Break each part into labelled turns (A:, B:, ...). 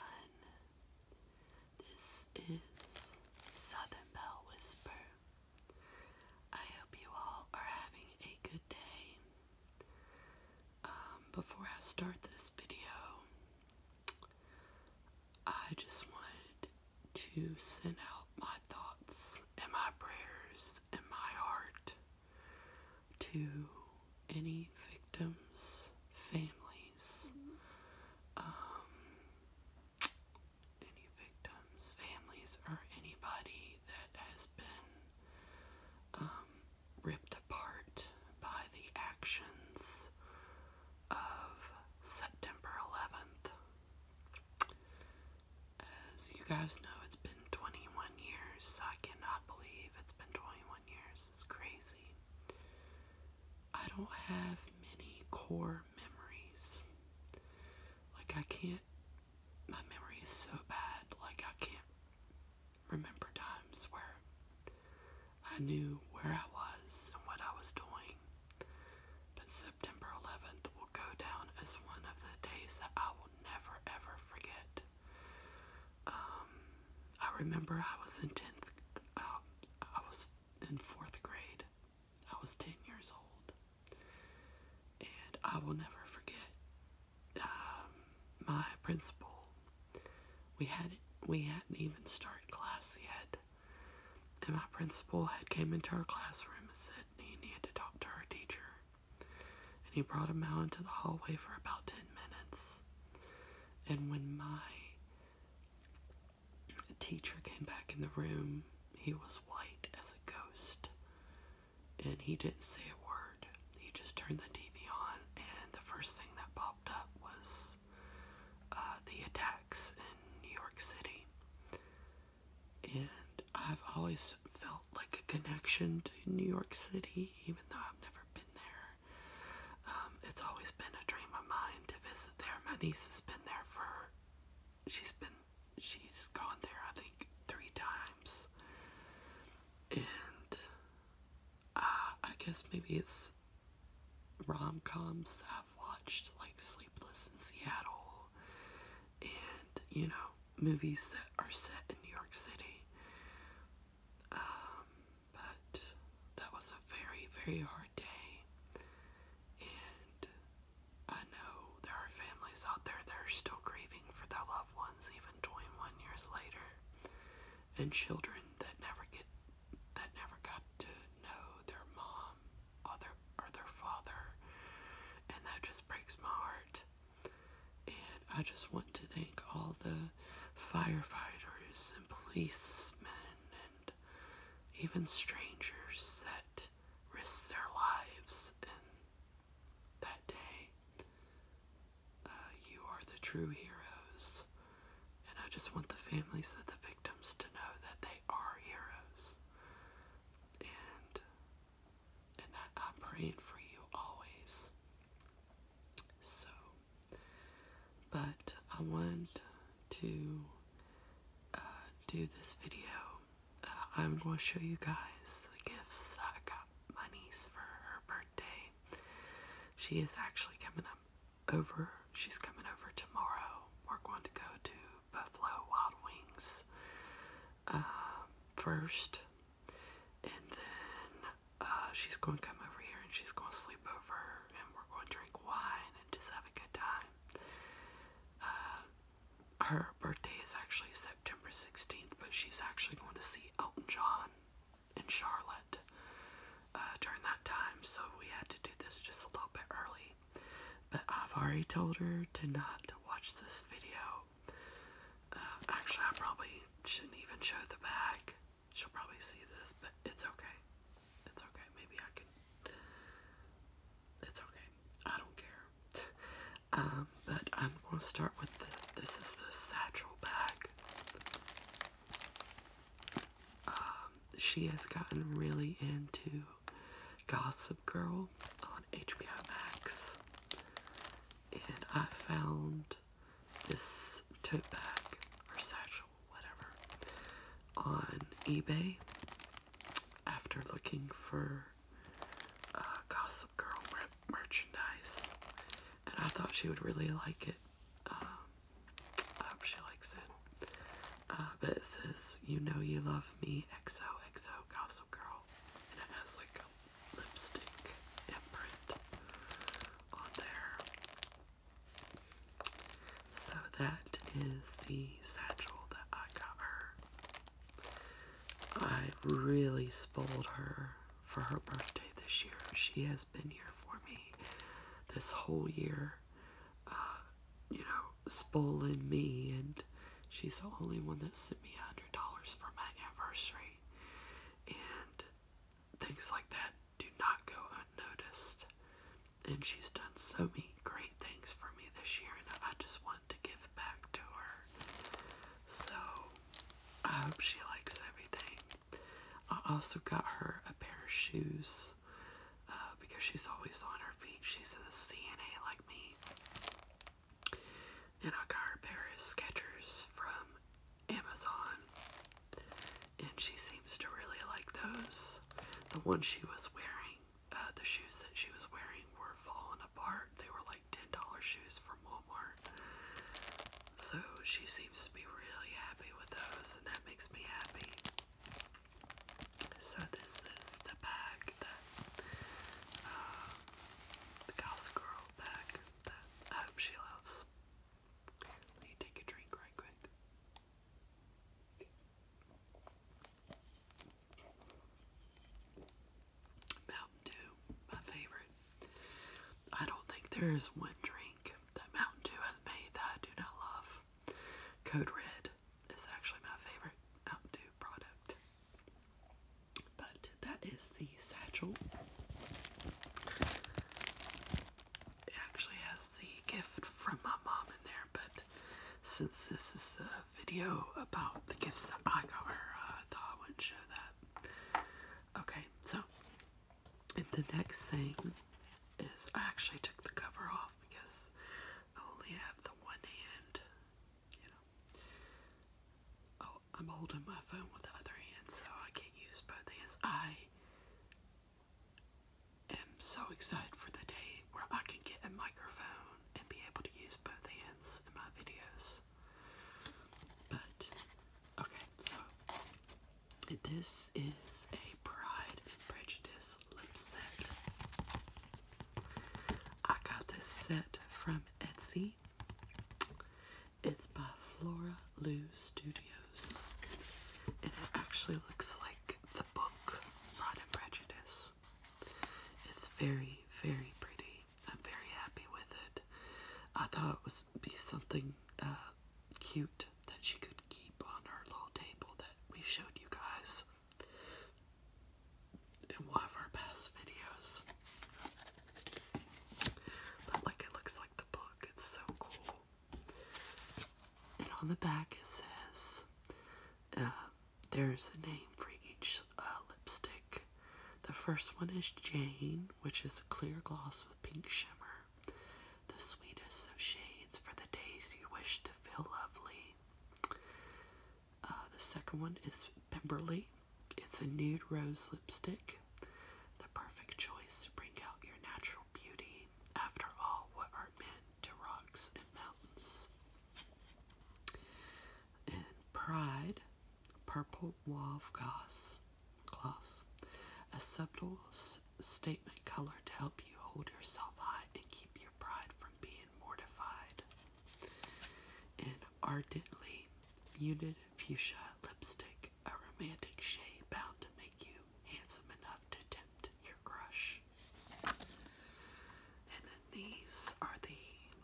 A: Um, this is Southern Bell Whisper. I hope you all are having a good day. Um, before I start this video, I just wanted to send out my thoughts and my prayers and my heart to any victims' families. Um, any victims' families or anybody that has been um, ripped apart by the actions of September 11th. As you guys know, it's been 21 years. I cannot believe it's been 21 years. It's crazy. I don't have many core memories. Like, I can't. My memory is so bad, like, I can't remember times where I knew where I was and what I was doing. But September 11th will go down as one of the days that I will never ever forget. Um, I remember I was in tenth. Uh, I was in fourth grade. I was ten years old, and I will never forget um, my principal. We hadn't we hadn't even started class yet, and my principal had came into our classroom and said he needed to talk to our teacher, and he brought him out into the hallway for about ten minutes. And when my teacher came back in the room, he was white as a ghost. And he didn't say a word. He just turned the TV on, and the first thing that popped up was uh, the attacks in New York City. And I've always felt like a connection to New York City, even though I've never been there. Um, it's always been a dream of mine to visit there. My niece has been there for, she's been, she's gone there I think three times. And uh, I guess maybe it's rom coms that I've watched, like Sleepless in Seattle, and you know, movies that are set in New York City. Um, but that was a very, very hard day. And I know there are families out there that are still grieving for their loved ones even 21 years later. And children that never get that never got to know their mom or or their father. And that just breaks my heart. And I just want to thank all the firefighters and policemen and even strangers that risked their lives And that day. Uh, you are the true heroes. And I just want the families of the victims to know that they are heroes. And and that I'm praying for you always. So, but I want to uh, do this video. Uh, I'm going to show you guys the gifts I got my for her birthday. She is actually coming up over. She's coming over tomorrow. We're going to go to Buffalo Wild Wings uh, first, and then uh, she's going to come over here and she's going to sleep over and we're going to drink wine and just have a good time. Uh, her birthday is actually September 16th, but she's actually going to see Elton John in Charlotte uh, during that time, so we had to do this just a little bit early. But I've already told her to not watch this video uh, actually, I probably shouldn't even show the back. She'll probably see this, but it's okay. It's okay. Maybe I can. It's okay. I don't care. um, but I'm going to start with the. This is the satchel bag. Um, she has gotten really into Gossip Girl on HBO Max, and I found this tote bag or satchel, whatever, on eBay after looking for uh, Gossip Girl merchandise, and I thought she would really like it. Um, I hope she likes it. Uh, but it says, "You know you love me, XOXO Gossip Girl," and it has like lipstick imprint on there. So that is the satchel that I got her. I really spoiled her for her birthday this year. She has been here for me this whole year, uh, you know, spoiling me, and she's the only one that sent me $100 for my anniversary. And things like that do not go unnoticed. And she's done so many great things for me this year, and I just want to give back to her. So I hope she likes everything. I also got her a pair of shoes uh, because she's always on her feet. She's a CNA like me and I got her pair of Skechers from Amazon, and she seems to really like those. The ones she was wearing, uh, the shoes that she was wearing were falling apart. They were like ten dollar shoes from Walmart, so she seems to be really happy with those, and that makes me happy. So this is the bag that um, the Gossip bag that I hope she loves. Let me take a drink right quick. Mountain Dew, my favorite. I don't think there is one drink that Mountain Dew has made that I do not love. Code Red is actually my favorite Mountain Dew product. But that is the satchel. It actually has the gift from my mom in there, but since this is a video about the gifts that I got her, I thought I wouldn't show that. Okay, so the next thing is I actually took the cover off because I only have the one hand, you know. Oh, I'm holding my phone with the other hand, so I can't use both hands. I am so excited for the day where I can get a microphone and be able to use both hands in my videos. But, okay, so this is a Pride and Prejudice lip set. I got this set from Etsy. It's by Flora Lou Studios. And it actually looks like the book Pride and Prejudice. It's very, very pretty. I'm very happy with it. I thought it would be something uh, cute that she could keep on her little table that we showed you guys in one of our past videos. But like it looks like the book. It's so cool. And on the back it says uh, there's a name for each uh, lipstick. The first one is Jane, which is clear gloss with pink shimmer. The sweetest of shades for the days you wish to feel lovely. Uh, the second one is Pemberley, it's a nude rose lipstick, the perfect choice to bring out your natural beauty. After all, what are men to rocks and mountains? And Pride, purple mauve gloss, gloss, a subtle statement color to help you hold yourself high and keep your pride from being mortified. And ardently muted fuchsia lipstick, a romantic shade bound to make you handsome enough to tempt your crush. And then these are the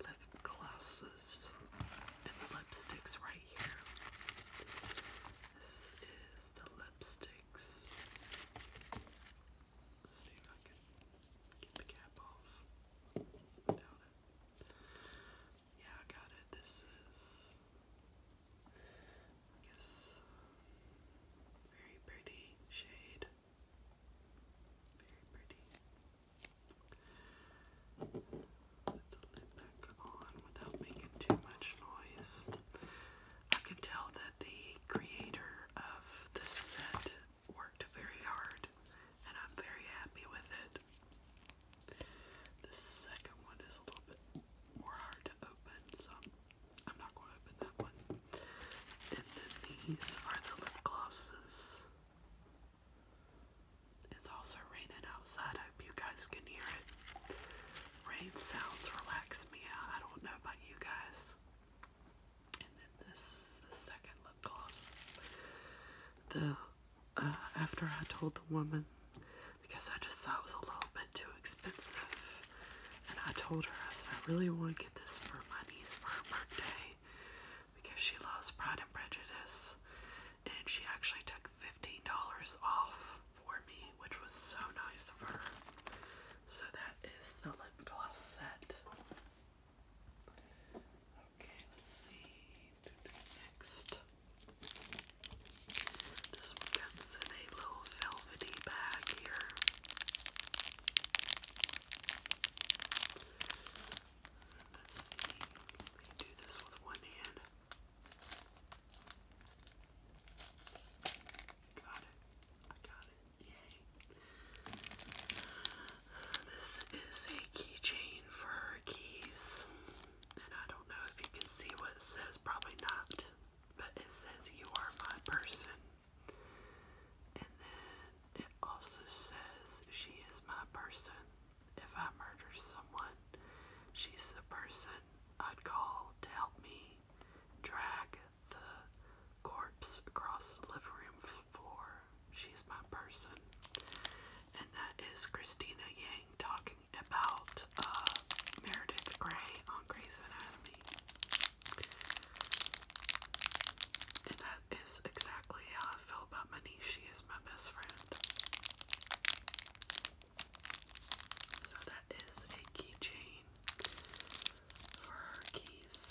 A: lip glosses and the lipsticks right here. This is the lipsticks. Let's see if I can get the cap off. Yeah, I got it. This is, I guess, very pretty shade. Very pretty. Put the lid back on without making too much noise. I could tell that the creator of the set worked very hard and I'm very happy with it. The second one is a little bit more hard to open, so I'm, not going to open that one. And then these are the lip glosses. It's also raining outside. I hope you guys can hear it. Rain sounds relax me out. I don't know about you guys. And then this is the second lip gloss. The uh, after I told the woman because I just thought it was a little bit too expensive. And I told her, I said, I really want to get this for my niece for her birthday because she loves Pride and Prejudice. And she actually took $15 off for me, which was so nice of her. So that is the lip gloss set. Okay, let's see. next. This one comes in a little velvety bag here. Let's see. Let me do this with one hand. Got it. I got it. Yay. This is a keychain for keys and I don't know if you can see what says, probably not, but it says, You are my person. And then it also says, She is my person. If I murder someone, she's the person I'd call to help me drag the corpse across the living room floor. She's my person. And that is Christina Yang talking about uh, Meredith Grey on Grey's Anatomy. And that is exactly how I feel about Manish. She is my best friend. So that is a keychain for her keys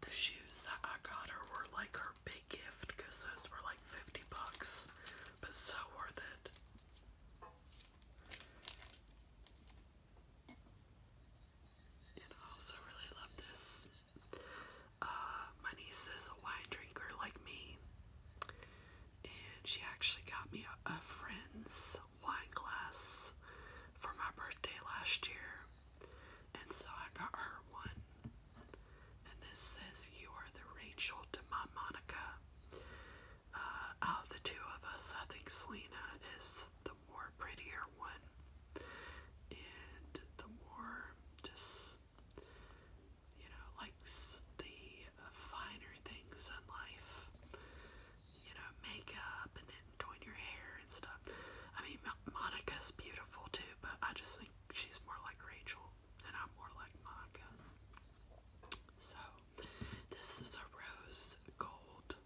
A: the shoes that I got her were like her big gift because those were like 50 bucks, but so worth it. I also really love this. Uh, my niece is a wine drinker like me, and she actually got me a friend's wine glass for my birthday last year. And so I got her one. And this says, You are the Rachel to my Monica. Uh, out of the two of us, I think Selena is the more prettier one. And the more just, you know, likes the finer things in life. You know, makeup and doing your hair and stuff. I mean, Monica's beautiful too, but I just think she's more like Rachel, and I'm more like Monica. So, this is a rose gold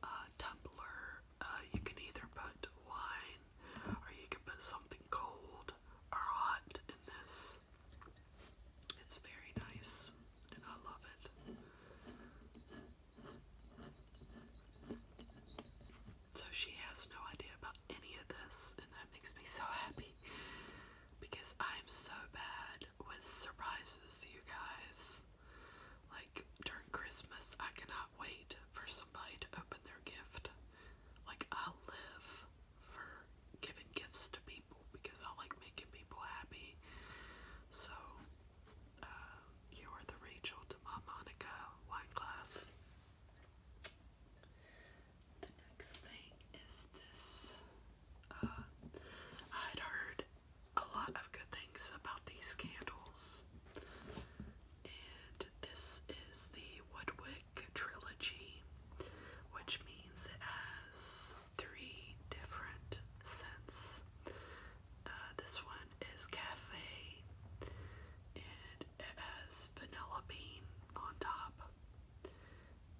A: uh, tumbler. Uh, you can either put wine or you can put something cold or hot in this. It's very nice, and I love it. So she has no idea about any of this, and that makes me so happy because I'm so bad with surprises, you guys. Like during Christmas, I cannot wait for somebody to open their gift. Like, I live for giving gifts to people because I like making people happy. So, uh, you are the Rachel to my Monica wineglass. The next thing is this. Uh, I'd heard a lot of good things about these candles. And this is the Woodwick Trilogy, which means it has three different scents. Uh, this one is cafe and it has vanilla bean on top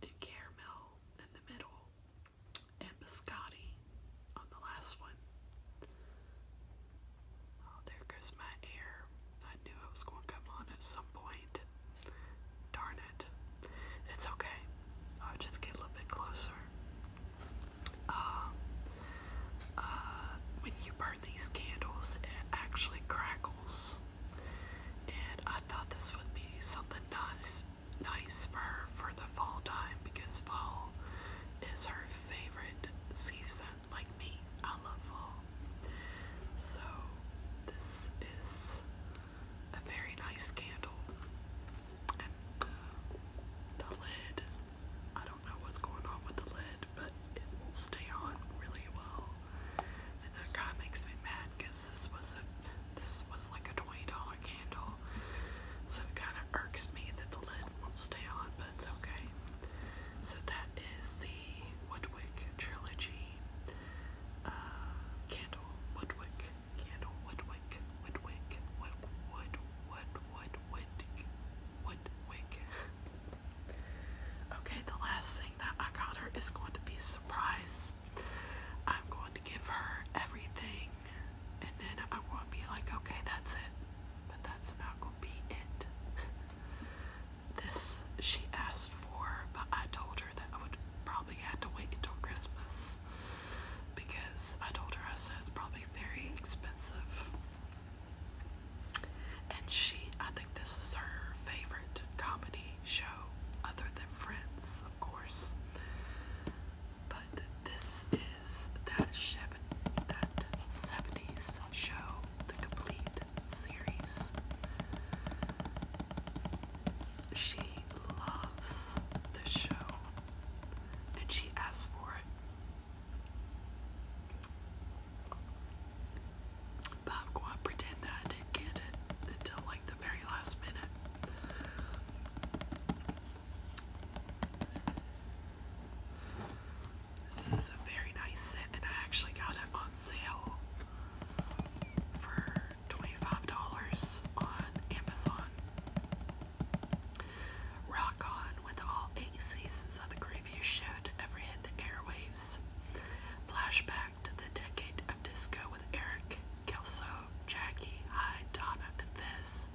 A: and caramel in the middle and biscotti on the last one. Oh, there goes my air. I knew it was going to come on at some point. Darn it. It's okay. I'll just get a little bit closer uh, uh, when you burn these candles, it actually crackles. And I thought this would be something nice, nice for her for the fall time because fall is her favorite season. Like me, I love fall. So this is a very nice candle, and uh, the lid I don't know what's going on with the lid, but it will stay on really well. And that kind of makes me mad because this was a this was like a twenty dollar candle, so it kind of irks me that the lid won't stay on, but it's okay. So that is the Woodwick trilogy uh, candle. Woodwick candle. Woodwick. Woodwick. Wood. Wood. Wood wood wick okay, the last thing that I got her is going to be a surprise. I'm going to give her everything and then I am going to be like, okay, that's it. But that's not gonna be it. this she asked for, but I told her that I would probably have to wait until Christmas because I told her I said it's probably very expensive. And she, I think this is her favorite comedy show, other than Friends, of course. But this is that seven, that 70s show, the complete series. She loves this show and she asked for it. But i pretend that I didn't get it until like the very last minute. This is a very nice set, and I actually got it on sale for $25 on Amazon. Rock on with all eight seasons of the greatest show to ever hit the airwaves. Flashback to the decade of disco with Eric, Kelso, Jackie, Hyde, Donna, and Vez.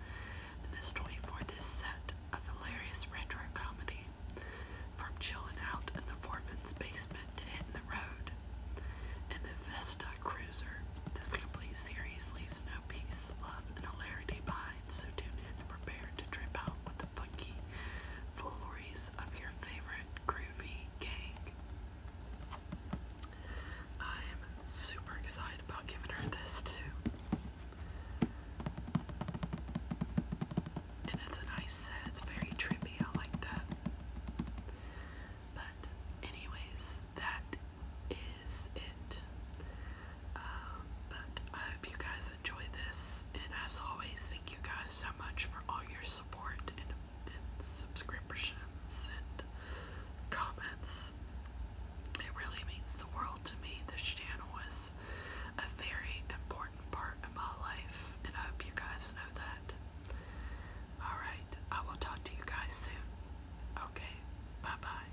A: this 24th is set of hilarious retro comedy. From chilling out in the foreman's basement to hitting the road. In the Vesta Cruiser, this complete series leaves no piece, love, and hilarity behind so tune in and prepare to trip out with the funky fooleries of your favorite groovy gang. I'm super excited about giving her this too. And it's a nice set, it's very trippy, I like that. But, anyways, that is it. Um, but I hope you guys enjoy this, and as always, thank you guys so much for all your support and, and subscriptions and comments. It really means the world to me. This channel is a very important part of my life, and I hope you guys know that. Alright, I will talk to you guys soon. Okay, bye bye.